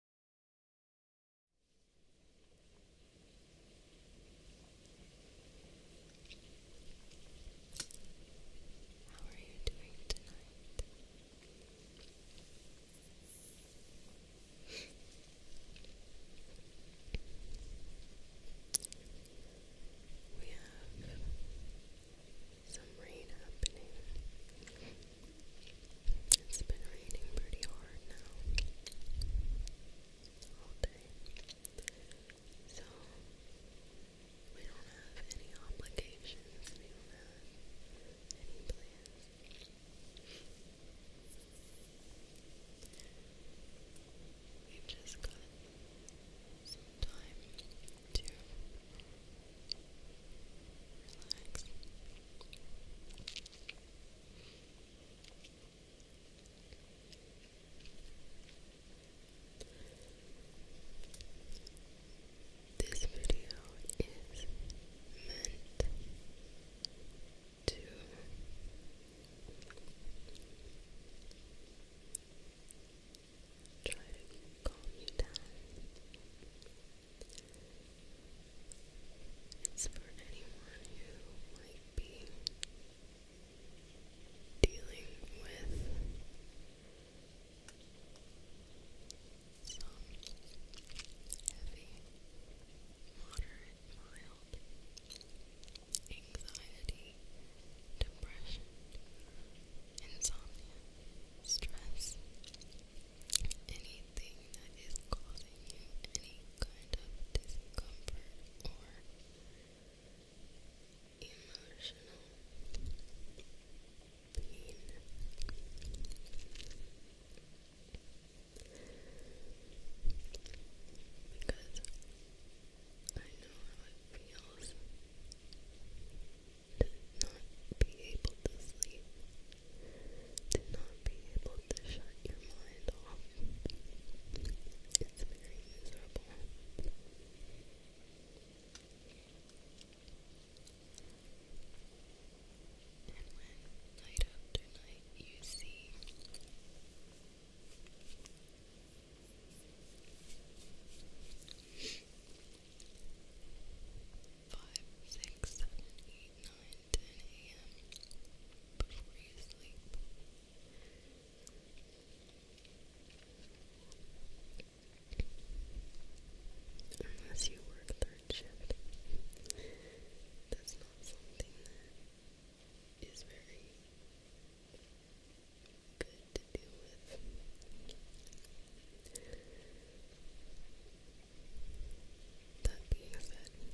How are you doing tonight? we have some rain happening it's been raining pretty hard now. All day. So, we don't have any obligations, we do any plans. we just got some time to relax. This video is meant to try to calm you down. It's for anyone who might be dealing with some heavy, moderate, mild anxiety, depression, insomnia, stress, anything that is causing you any kind of discomfort or emotional pain. Because I know how it feels to not be able to sleep, to not be able to shut your mind off. It's very miserable. And when night after night you see 5, a.m. before you sleep. Unless you work third shift. That's not something that is very good to deal with that being said, you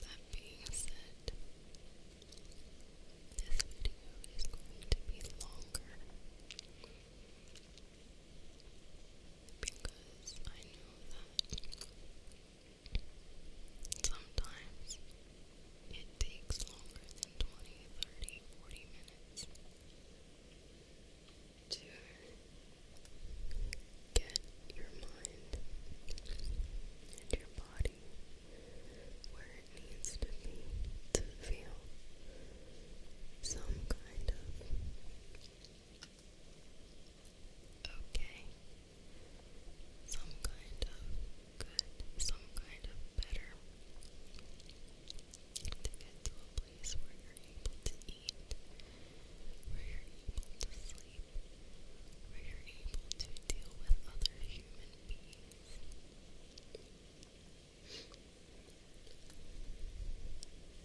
that being said, this video is going to be longer because I know that sometimes it takes longer than 20, minutes to get your mind and your body where it needs to be to feel some kind of okay, some kind of good, some kind of better to get to a place where you're able to eat, where you're able to sleep, where you're able to deal with other human beings.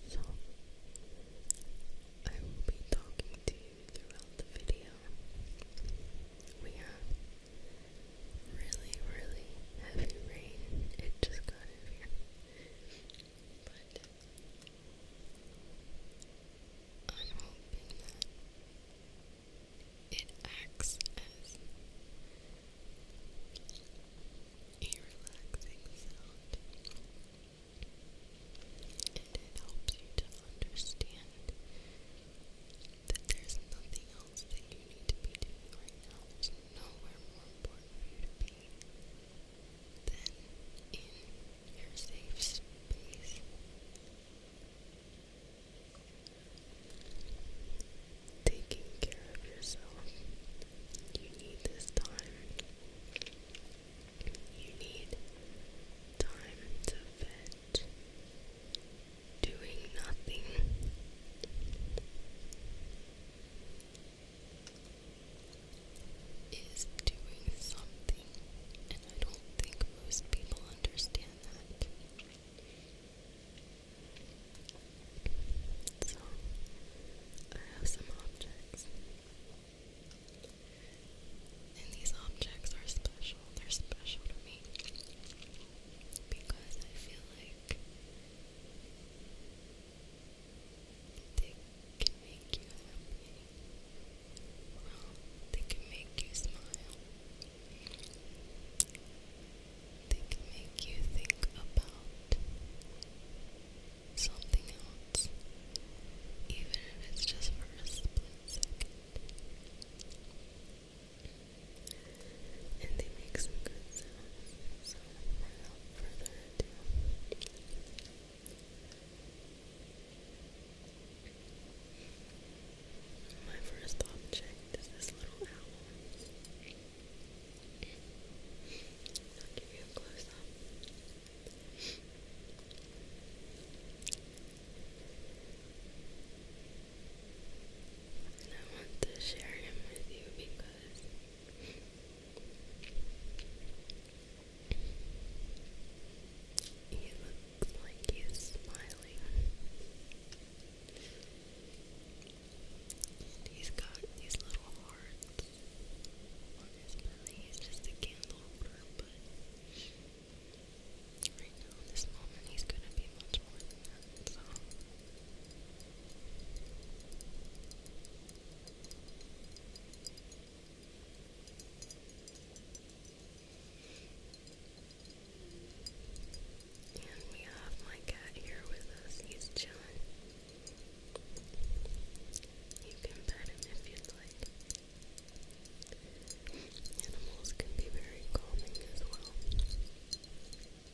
So, I will be talking to you throughout the video. We have really, really heavy rain. It just got here. But I'm hoping that it acts as a relaxing sound and it helps you to understand that there's nothing else that you need to be doing right now. There's nowhere more important for you to be than in your safe space. Taking care of yourself. You need this time. You need time to vent doing nothing. Is doing something, and I don't think most people understand that. So, I have some objects, and these objects are special, they're special to me because I feel like they can make you happy. they can make you smile. They can make you think about something else, even if it's just for a split second and they make some good sounds. So, without further my first object is this little owl. I'll give you a close up. And I want to share him with you because he looks like he smiling. he's got these little hearts on his belly. He's just a candle but right now, this moment, he's gonna be much more than that. So. And we have my cat here with us. He's chilling. You can pet him if you'd like. Animals can be very calming as well.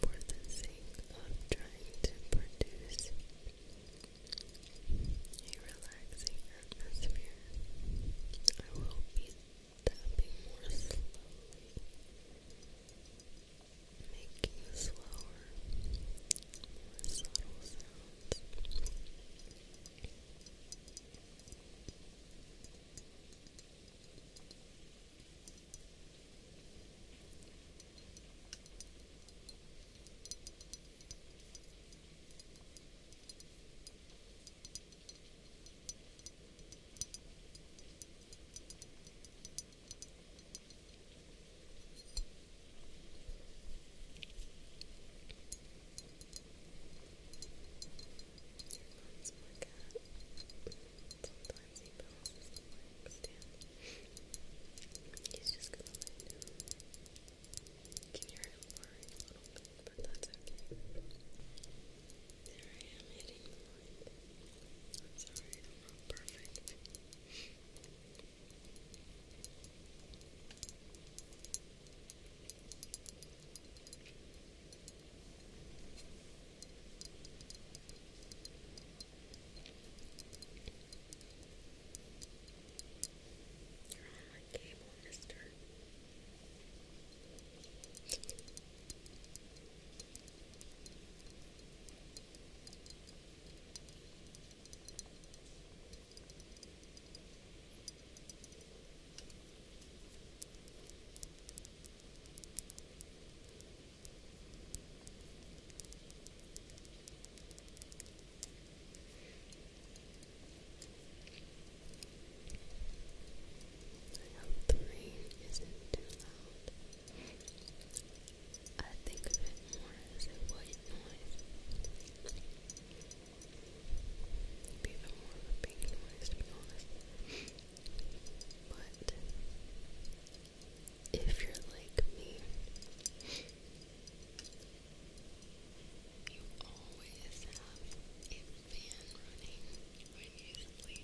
For the sake of trying to produce a relaxing atmosphere, I will be tapping more slowly making slower, more subtle sounds. Now Sometimes He's just gonna lay You a little bit, but that's okay. There I am hitting the sorry, I'm not perfect. You're on my cable, mister. I hope the rain isn't too loud. I think it more as even more of a pink noise, But if you're like me, you always have a fan running when you sleep.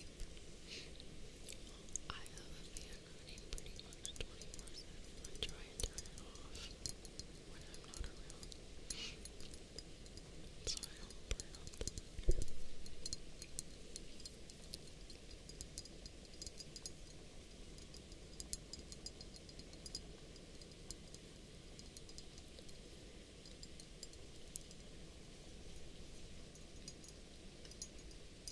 I have a fan running pretty much 24 I try and turn it off when I'm not around. So I don't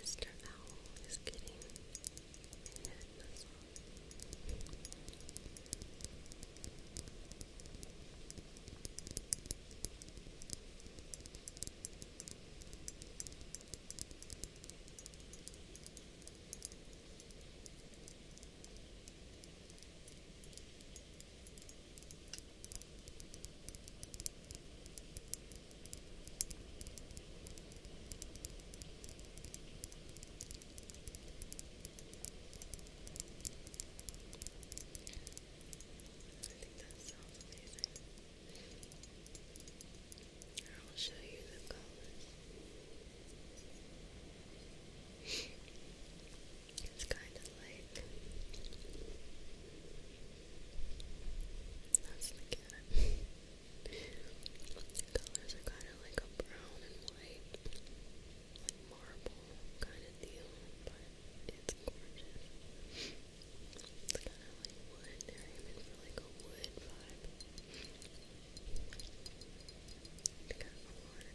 Mr. Owl is getting a head massage think that sounds amazing. I will show you the colors. It's kind of like that's the cat. the colors are kind of like a brown and white, like marble kind of deal, but it's gorgeous. It's kind of like wood. They're like a wood vibe. It's got a lot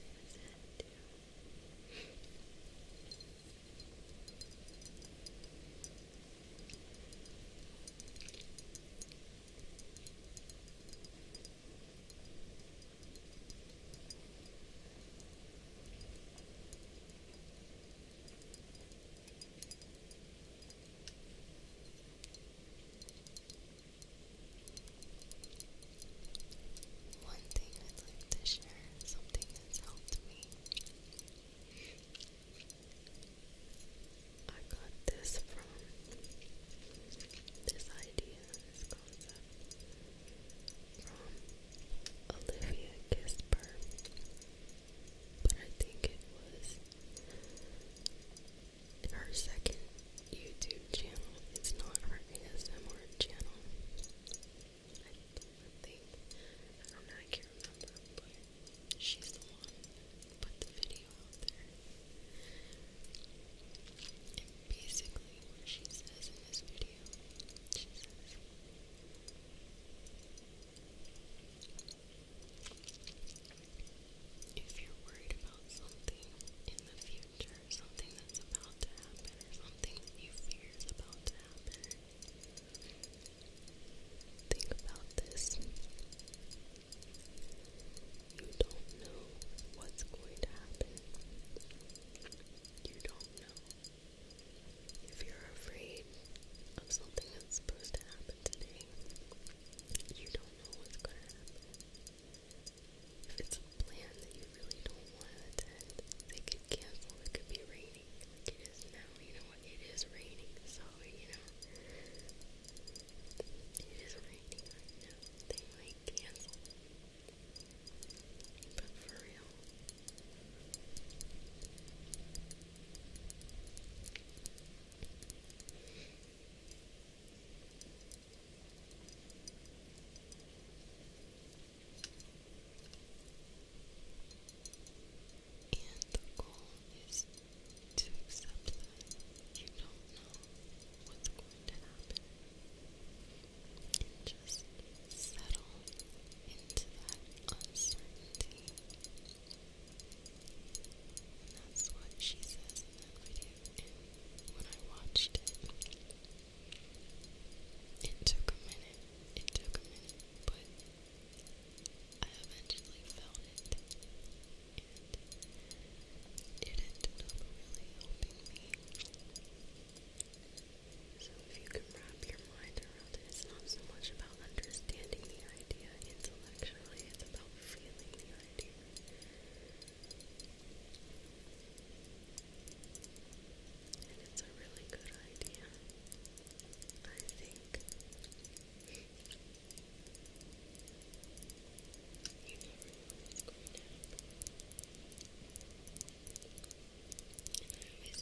one thing I'd like to share, something that's helped me I got this from this idea, this concept from Olivia Gisper, but I think it was her second YouTube channel. It's not her ASMR channel. I don't know, I can't remember, but she's the one who put the video out there. And basically, what she says in this video, she says, if you're worried about something in the future, something that's about to happen, or something you fear about to happen, Think about this. You don't know what's going to happen. You don't know. If you're afraid of something that's supposed to happen today, you don't know what's going to happen. If it's a plan that you really don't want to attend, they could cancel. It could be raining like it is now. You know it is raining, so you know it is raining right now. They might cancel. But for real. I and the goal is to accept that you don't know what's going to happen and just settle into that uncertainty. that's what she says in that video. And when I watched it, it took a minute. It took a minute, but I eventually found it and it ended up really helping me. So if you can wrap your mind around it, it's not so much about understanding the idea intellectually, it's about feeling the idea. And it's a really good idea. I think you know what's going always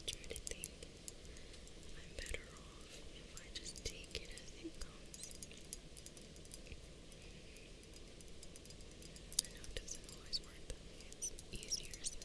try to think I'm better off if I just take it as it comes. I know it doesn't always work that it's easier said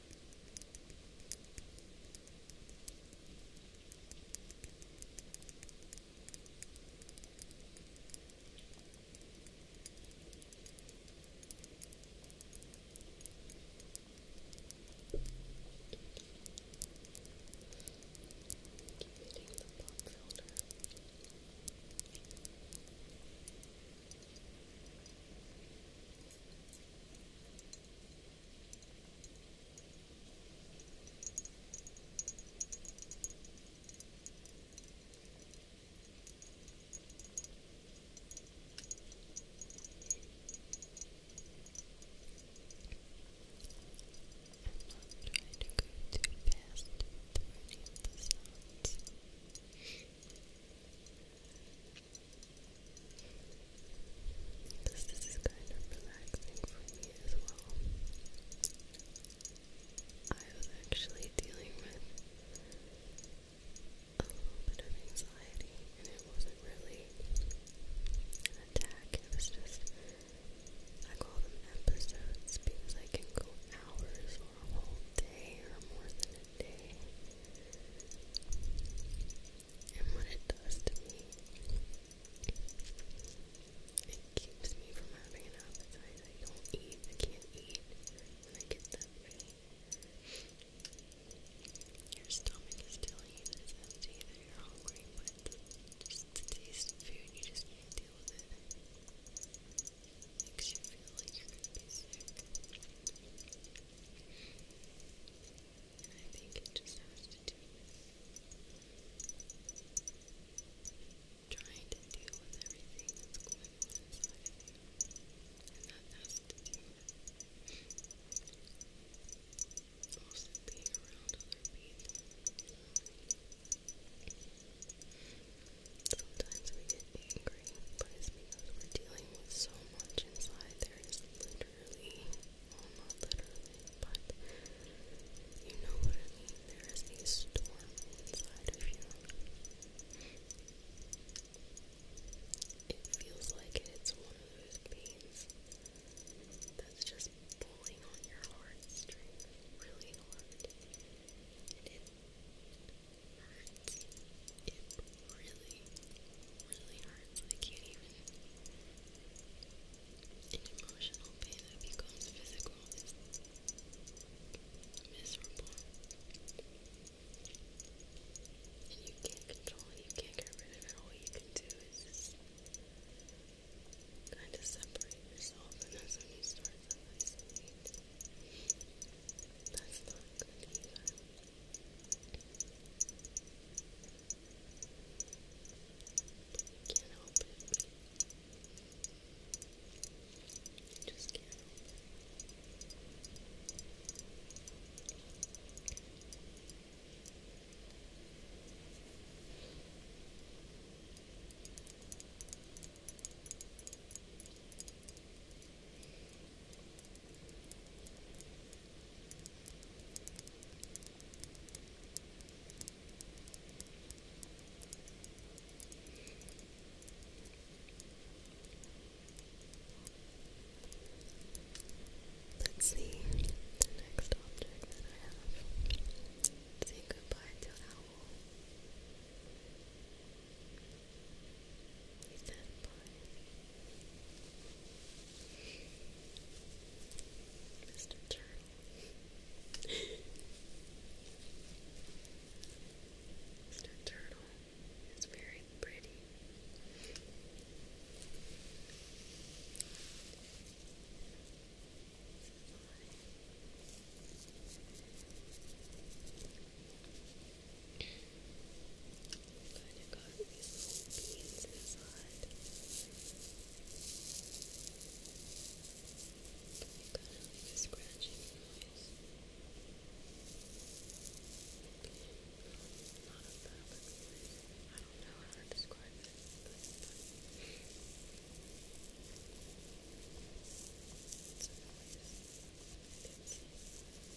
Keep the pop filter too fast with any of the sounds. Because this is kind of relaxing for me as well. I was actually dealing with a little bit of anxiety, and it wasn't really an attack, it was just. I call them episodes because I can go hours or a whole day or more than a day and what it does to me. It keeps me from having an appetite. I don't eat, I can't eat when I get that way. Your stomach is telling you that you're hungry, but just the taste food, you just can't deal with it. it makes you feel like you're gonna be sick. I think it just has to do with trying to deal with everything that's going on inside of you. And that has to do with being around other people. Sometimes we get angry, but it's because we're dealing with so much inside. There is literally, well not literally, but you know what there is a storm inside of you. It feels like it's one of those pains that's just pulling on your heartstrings really hard. And it hurts really, really hurts. I can't even. An emotional pain that becomes physical is miserable. you can't control it, you can't get rid of it. All you can do is just kind of separate yourself, and that's when you start to isolate. That's not good either. I can't help it. I just can't help it. I Let's see the next object that I have. Say goodbye to owl. He's that Mr. Turtle. Mr. Turtle is very pretty. Glad you got little beans inside. kind of scratching noise. Not a fabric noise. I don't know how to describe it,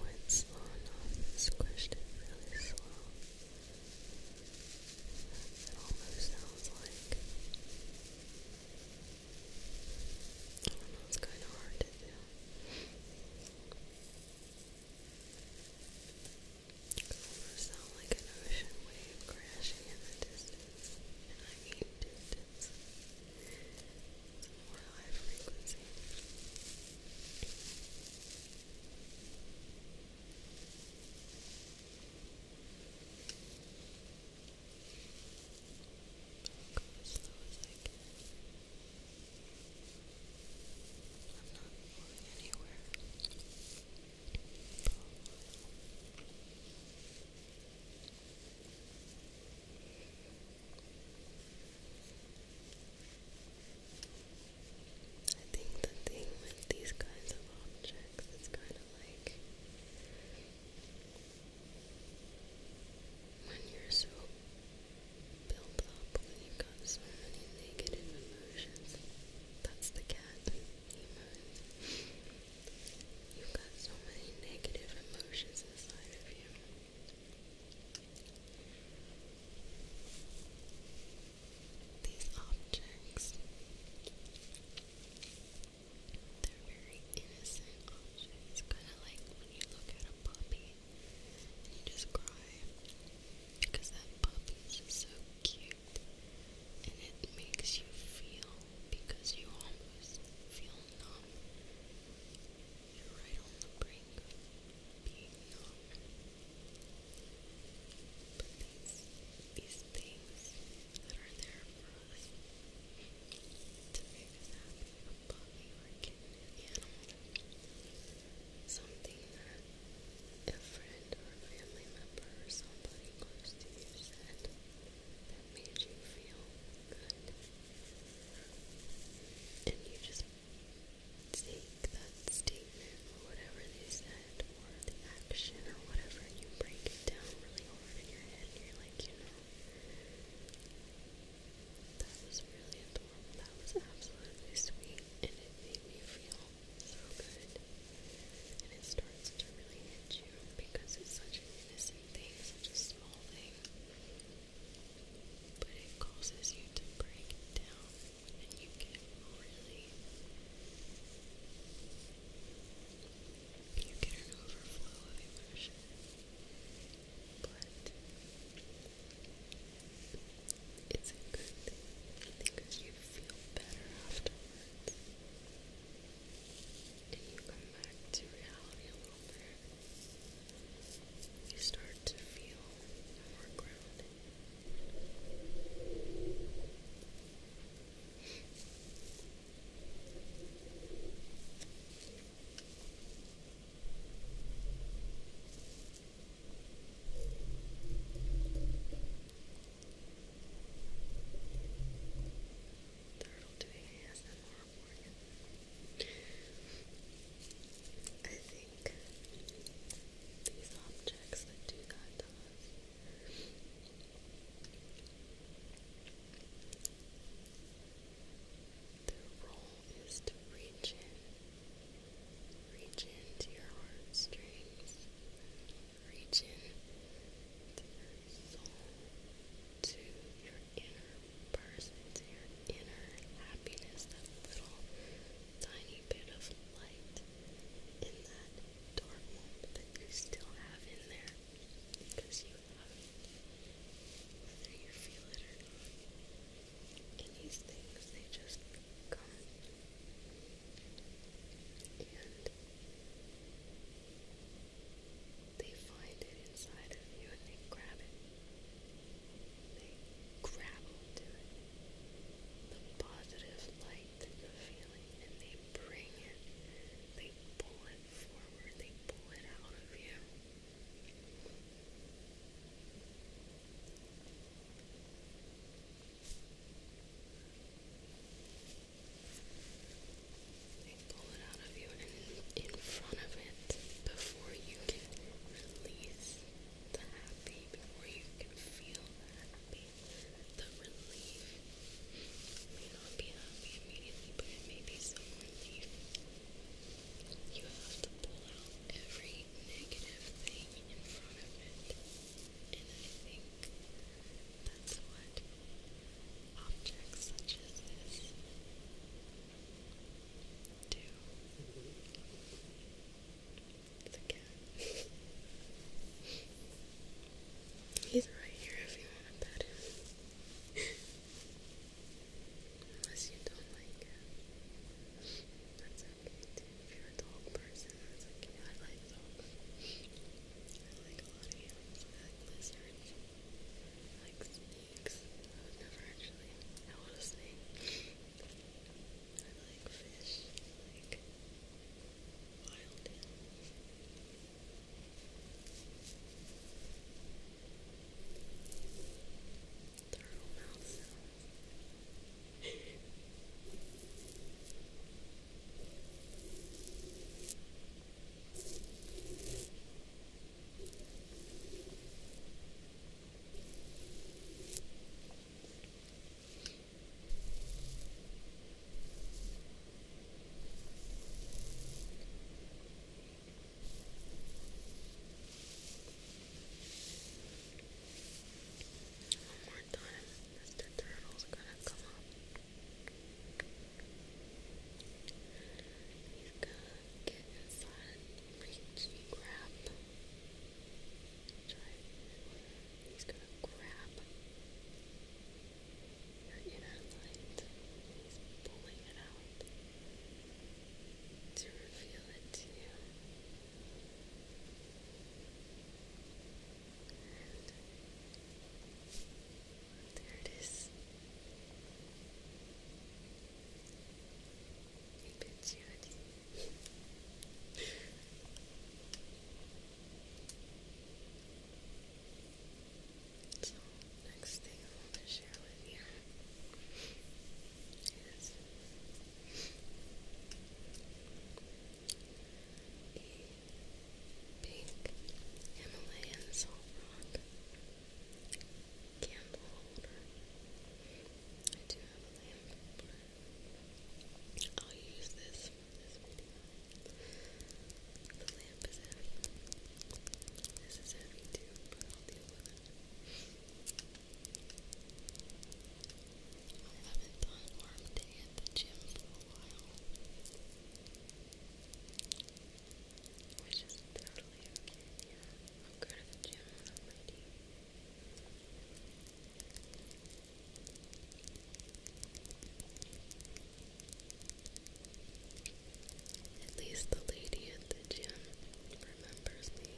went slow enough and squished it really slow. It almost sounds like. I kind of hard to do. almost sounds like an ocean wave crashing in the distance. And I mean distance. It's more high frequency go as slow as I can. I'm not going anywhere. I think the thing with these kinds of objects is kind of like when you're so built up, when you've got so many negative emotions. That's the cat he You've got so many negative emotions inside of you. These objects, they're very innocent objects, kind of like when you look at a puppy and you just cry because that puppy is so cute and it makes you feel because you almost feel numb. You're right on the brink of being numb. But these, these things that are there for us to make us a puppy or animal, something that a friend or a family member or somebody close to you said that made you feel good. And you just take that statement or whatever they said or the action or whatever and you break it down really hard in your head and you're like, you know, that was really adorable, that was absolutely sweet and it made me feel so good. And it starts to really hit you because it's such an innocent thing, such a small thing. But it causes you to break down and you get really you get an overflow of emotion. But it's a good thing because you feel better afterwards. And you come back to reality a little bit. You start to feel more grounded. That'll do ASMR for you. I think like these objects that do that Their role is to reach in, reach into your heartstrings, reach in your soul, to your inner person, to your inner happiness, tiny bit of light in that dark moment that you still have in there because you have whether you feel it or not. And these things, they just come. And they find it inside of you and they grab it. They grab onto it, the positive light and you feeling, and they bring it, they pull it forward, they pull it out of you. They pull it out of you and in front of it before you can release the happy before you can feel the relief. may not be happy immediately, but it may be some relief. You have to pull out every negative thing in front of it. And I think that's what objects such as this do. He's right here if you want to pet him. Unless you don't like cats. That's okay too. If you're a dog person, that's okay. I like dogs. I like lizards. I like snakes. I would never actually. I was a snake. I like fish. like wild animals. Thorough mouth one more time, Mr. Turtle's gonna come up. He's gonna get inside, reach, grab. Grab Try. He's gonna grab your inner light. He's pulling it out to reveal it to you. there it is. He bids you adieu. So, next thing I want to share with you is a pink Himalayan salt rock candle holder. I do have a lamp, I'll use this The lamp is heavy. This is heavy too, but I'll I haven't done arm day at the gym for a while. Which is totally okay, I'll go to the gym at least the lady at the gym remembers me.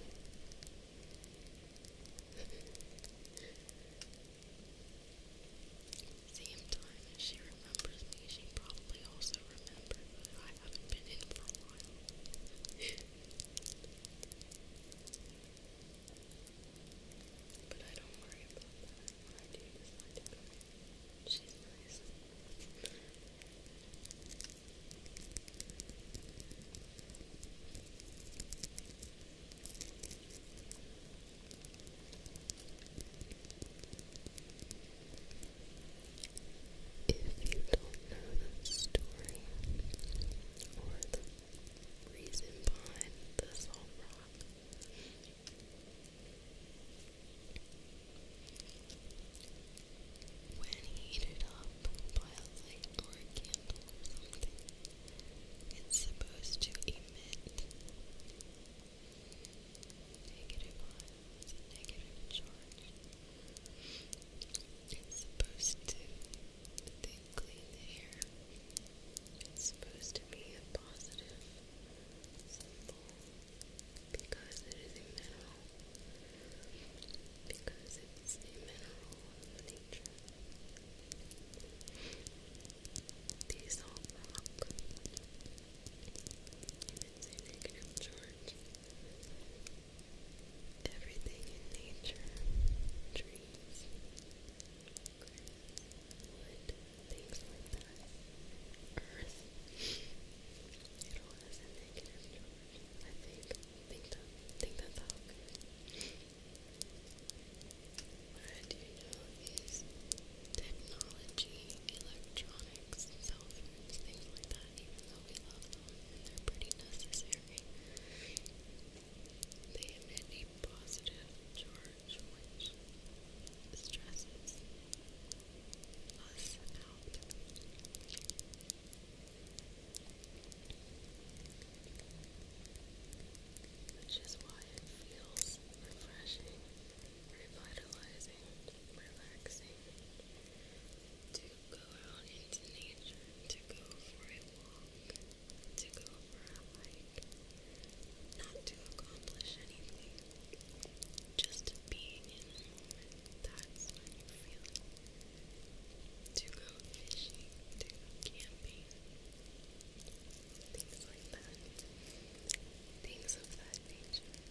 Same time as she remembers me, she probably also remembers that I haven't been in for a while. But I don't worry about that She's nice. If you don't know the story or the reason behind the salt When heated up by a light or a candle or something, it's supposed to emit negative ions negative charge. It's supposed to, clean hair. It's supposed to be a positive symbol because it is a mineral. Because it's a mineral of nature. These all rock. it's a negative charge. Everything in nature, trees. Chris Wood, things like that. Earth. I think. Think that think that's how What do know is technology, electronics, cell phones, things like that, even though we love them they're pretty necessary. They emit positive charge which stresses us out. Which is why it feels refreshing, revitalizing, relaxing to go out into nature, to go for a walk, to go for a hike, not to accomplish anything, just being in That's when you feel it. To go fishing, to go camping, things like that. Things of that nature.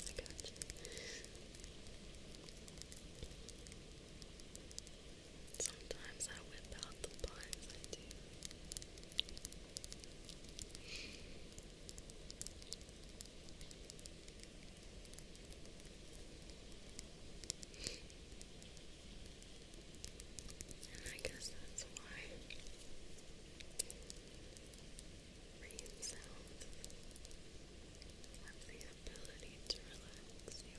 I gotcha. Sometimes I whip out the blinds, I guess that's why rain sounds have the ability to relax you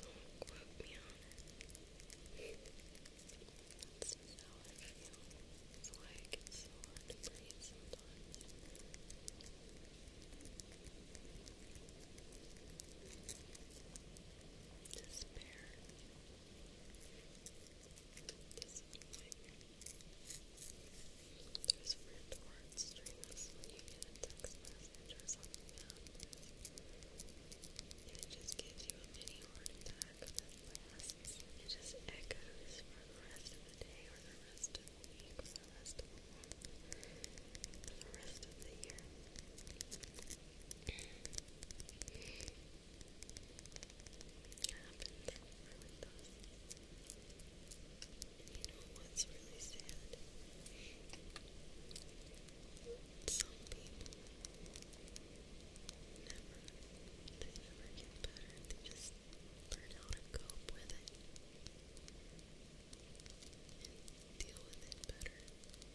Don't quote me on it. That's just how I feel. That's why it so hard to breathe sometimes. Despair. Disappointment. There's friend or short strings when you get a or something happens. It just gives you a mini heart attack that lasts. It just echoes for the rest of the day or the rest of the week or the rest of the month or the rest of the year. happens. It really does. You know what's really sad? Some people never, they never get better. They just learn how to cope with it and deal with it better. I am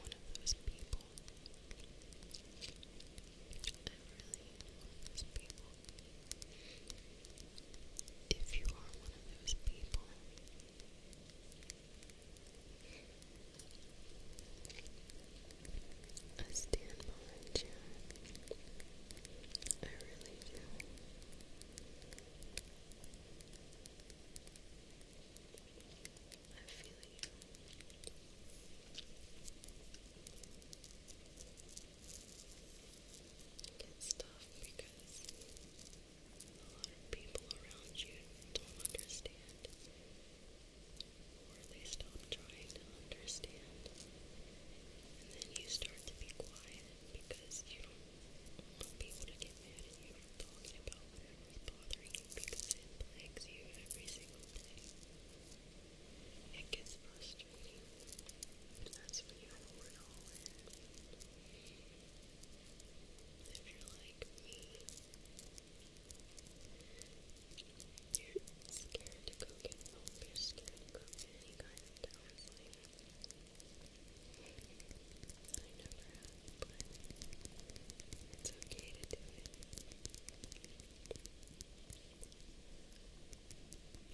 one of those people. I'm really one of those people. If you are one of those people, I stand behind Jack. I really do. I feel you. It's tough because a lot of people around you don't understand, or they stop trying to understand, and then you start to be quiet because you don't want people to get mad at you for talking about whatever's bothering you because it plagues you every single day. It gets frustrating. And that's when you pour it If you're like me, you're scared to go get milk, you're scared to go get any kind of counseling. I never have, but it's okay to do it.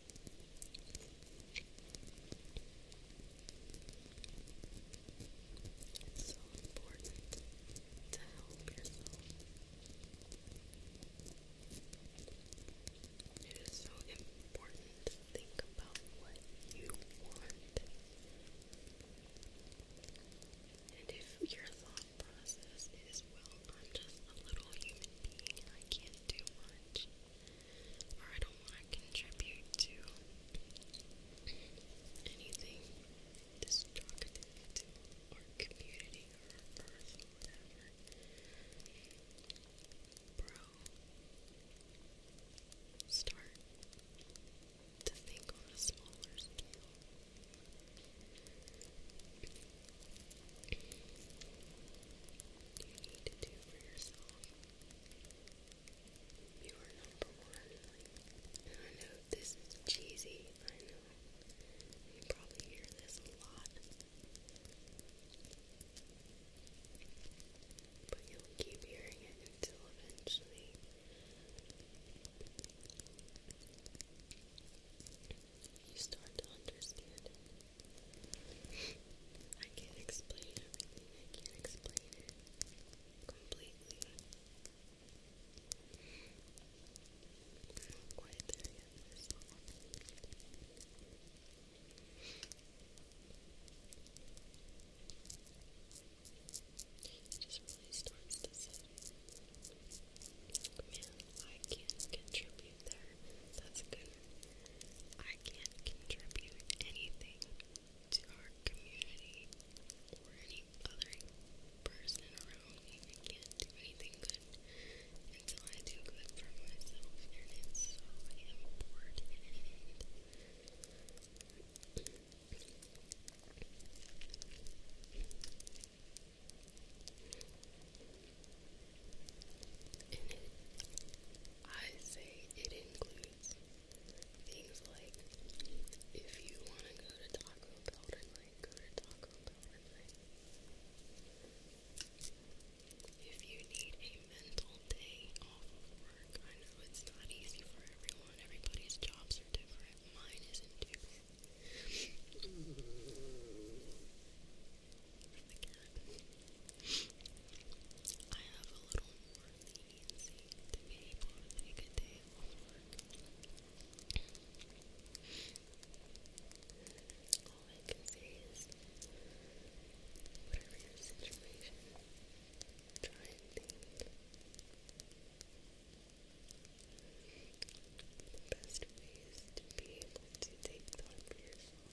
It's so important to help yourself. It is so important to think about what you want. And if your thought process is, well, I'm just a little human being, I can't do much or I don't want to contribute to anything destructive to community or earth or whatever. Bro, start to think on a smaller scale you need to do for yourself? You are number one. and I know this is cheesy. I know. You probably hear this a lot. But you'll keep hearing it until eventually you start to I can't explain everything. I can't explain it completely. I'm not quite there yet It just really starts to set. Man, I can't contribute contribute there. That's good. I can't contribute anything to our community or any other person around me. I can't do anything good until I do good for myself, and it's so important in I say it includes things like if you want to go to Taco Bell tonight, go to Taco Bell If you need a mental day off work, I know it's not easy for everyone. Everybody's jobs are different. Mine isn't different from the I have a little more to be able to take a day off All I can say is, whatever your situation, try and think the best ways to be able to take time for yourself.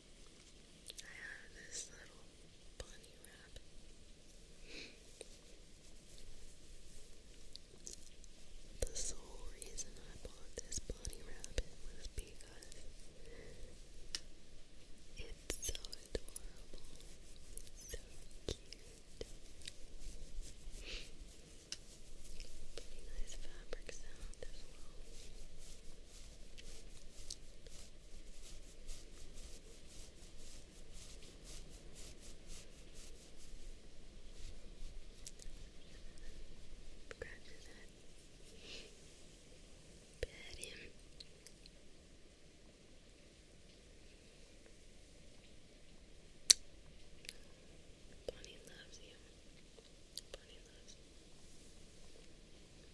I have this little bunny rabbit. The sole reason I bought this bunny rabbit was because it's so adorable, so cute. Pretty nice fabric sound Scratch that. loves you. Bonnie loves you. I love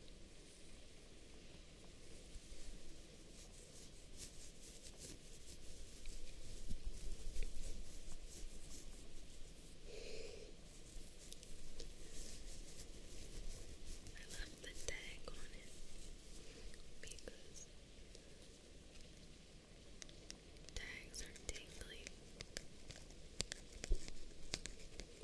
the tag on it because tags are tingly. It says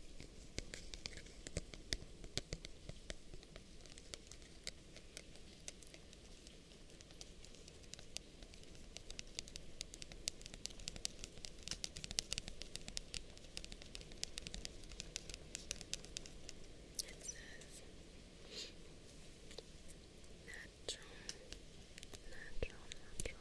natural, natural, natural,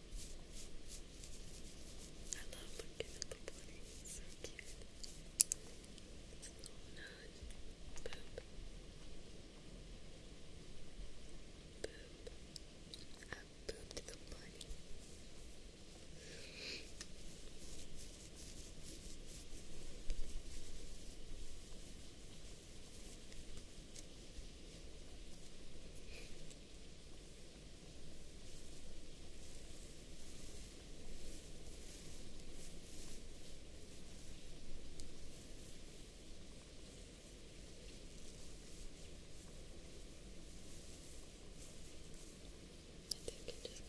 I love looking at the bunny. so cute. It's a little Boop. Boop. I booped the bunny. I think it just kind of meshes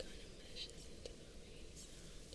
into the rain sound.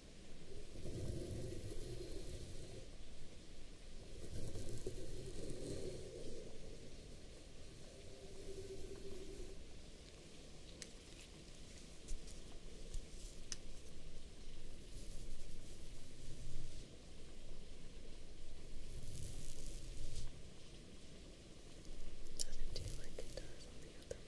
Doesn't do like it does on the other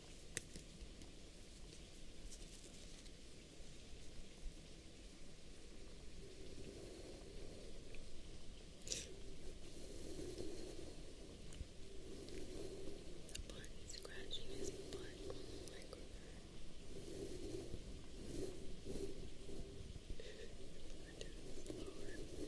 The butt scratching his butt on the microphone. I did it slower. It's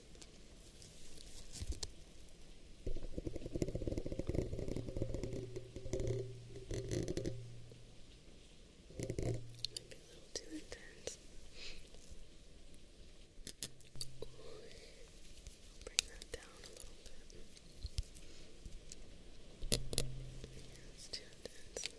Maybe a little too intense. Bring that down a little bit. too intense.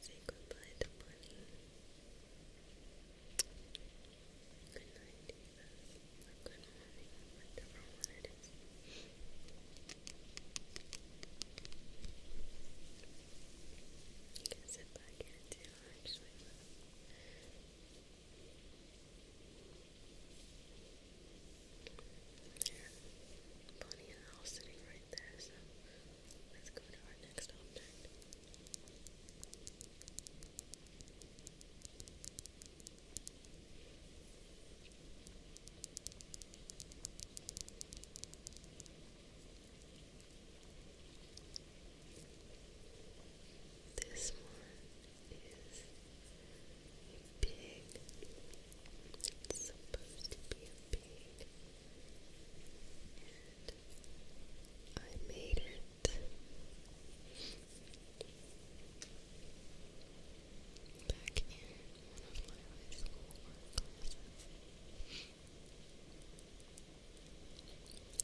Say goodbye to Bunny. Good night, Jesus. good morning, whatever one can sit back here too, actually. There. Bonnie and Al sitting right there, so Let's go to our next object. This one is a It's supposed to be a pig. I made it. Back in one of my high school classes.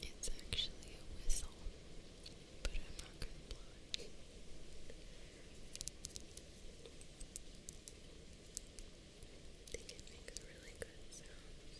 It's actually a whistle, but I'm not gonna blow it. I think it makes really good sounds.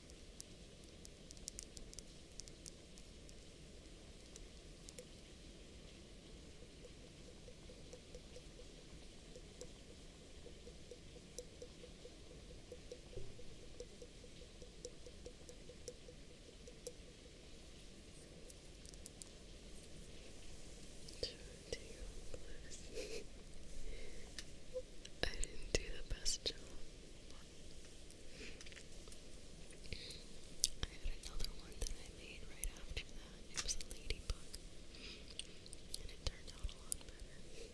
I didn't do the best job I had another one that I made right after that. It was a ladybug. And it turned out a lot better.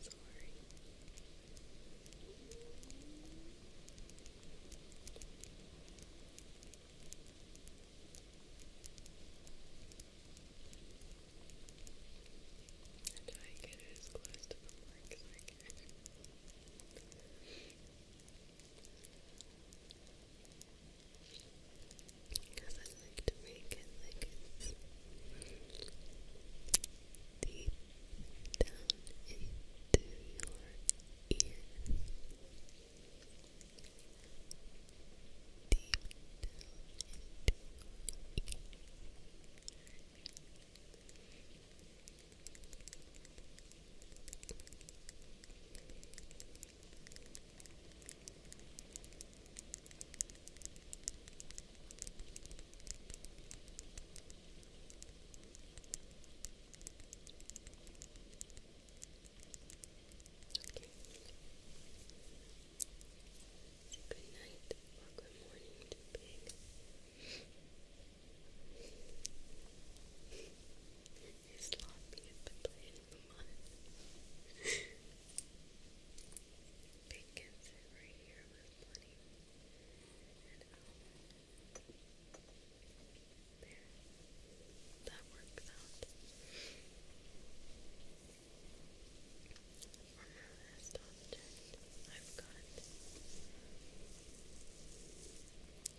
Sorry. I get as close to the mic as I can because I like to make it like it's deep down into your ear. Deep down Okay. good night good morning to pig. You're sloppy at the playing Um, they can That works out. For my last object, I've got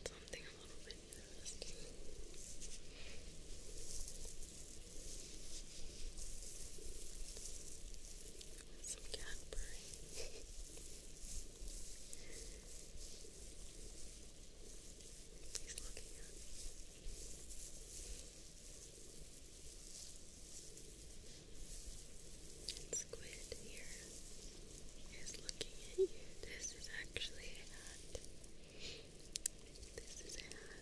something a little bit interesting. Some Cadbury. He's looking at me. And Squid here is looking at you. This is actually a hat. This is a hat.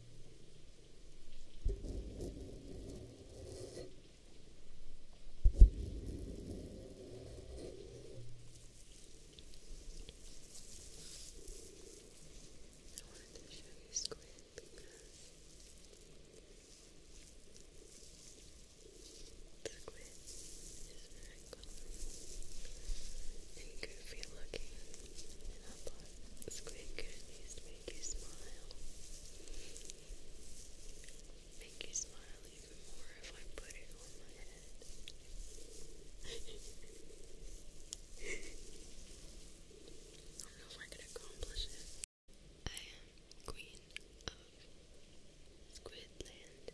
I wanted to show you squid Luna. Squid is very common and goofy looking. I thought this could at least make you smile. Make you smile even more if I put it on my head. I don't know if I can accomplish it. I am queen of Squidland.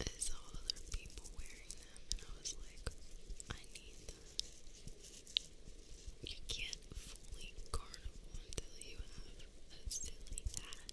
I saw other people wearing them and I was like, I need that. You can't fully carnival until you have a silly hat.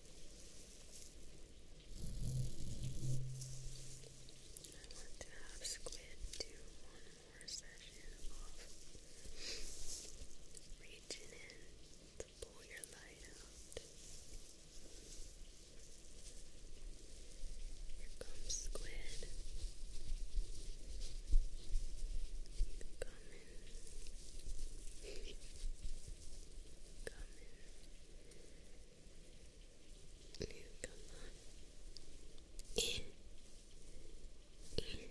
I want to have Squid do one more session of reaching in to pull your light out. Here comes Squid. Coming. Coming there. Now come on. In. In.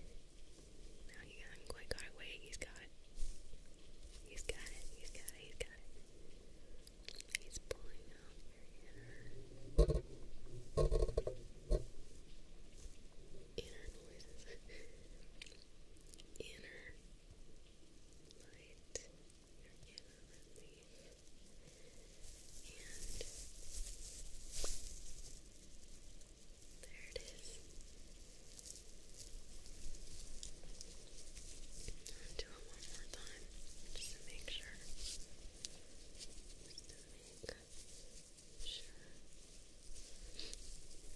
Now he has quite got away. He's got He's got it. He's got He's got it. He's pulling inner noises. inner light you there it do it one more time just to make sure just to make sure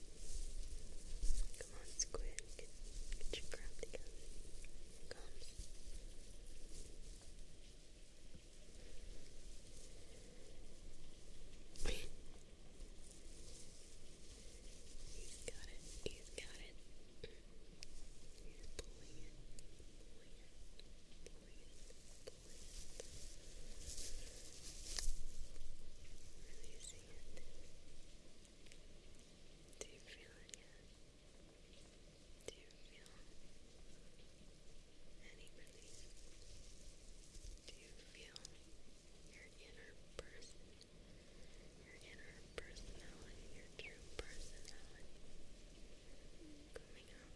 Come on, Squid. Get, your crap together. comes. He's got it. He's got it. He's pulling it. Pulling it. Pulling it. Releasing it. Do you feel it yet? Do you feel any relief? Do you feel your inner person, your inner personality, your true personality coming out?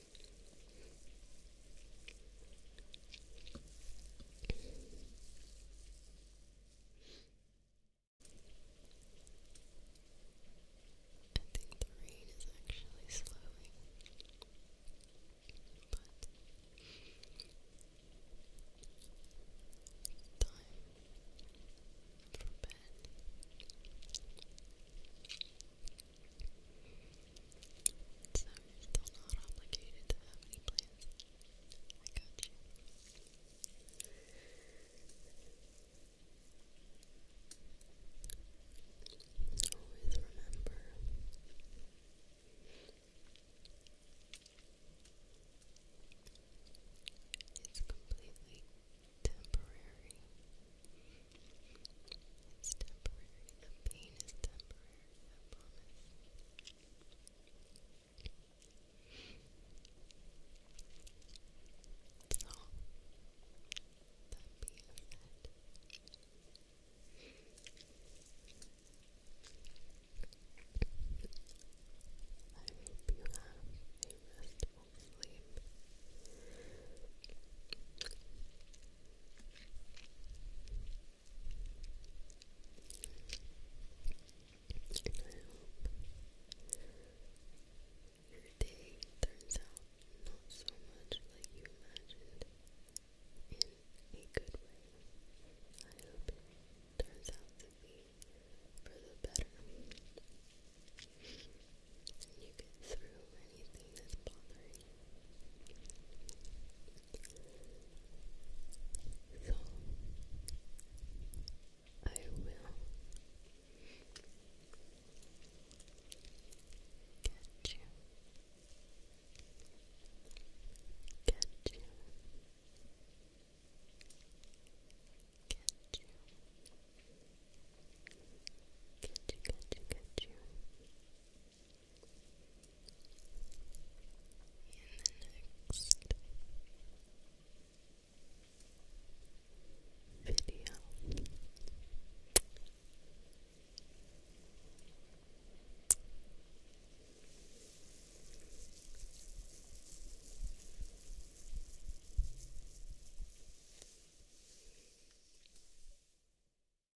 think the rain is actually slowing, time for bed. So you're still not obligated to have any plans. Always remember it's completely temporary. It's temporary. The pain is temporary, I promise. that being said, I hope you have a restful sleep. And I hope your day turns out not so much like you imagined in a good way. I hope it turns out for the better. And you get through anything So, I will get you, get you, get you, get you, get you, get you the next video.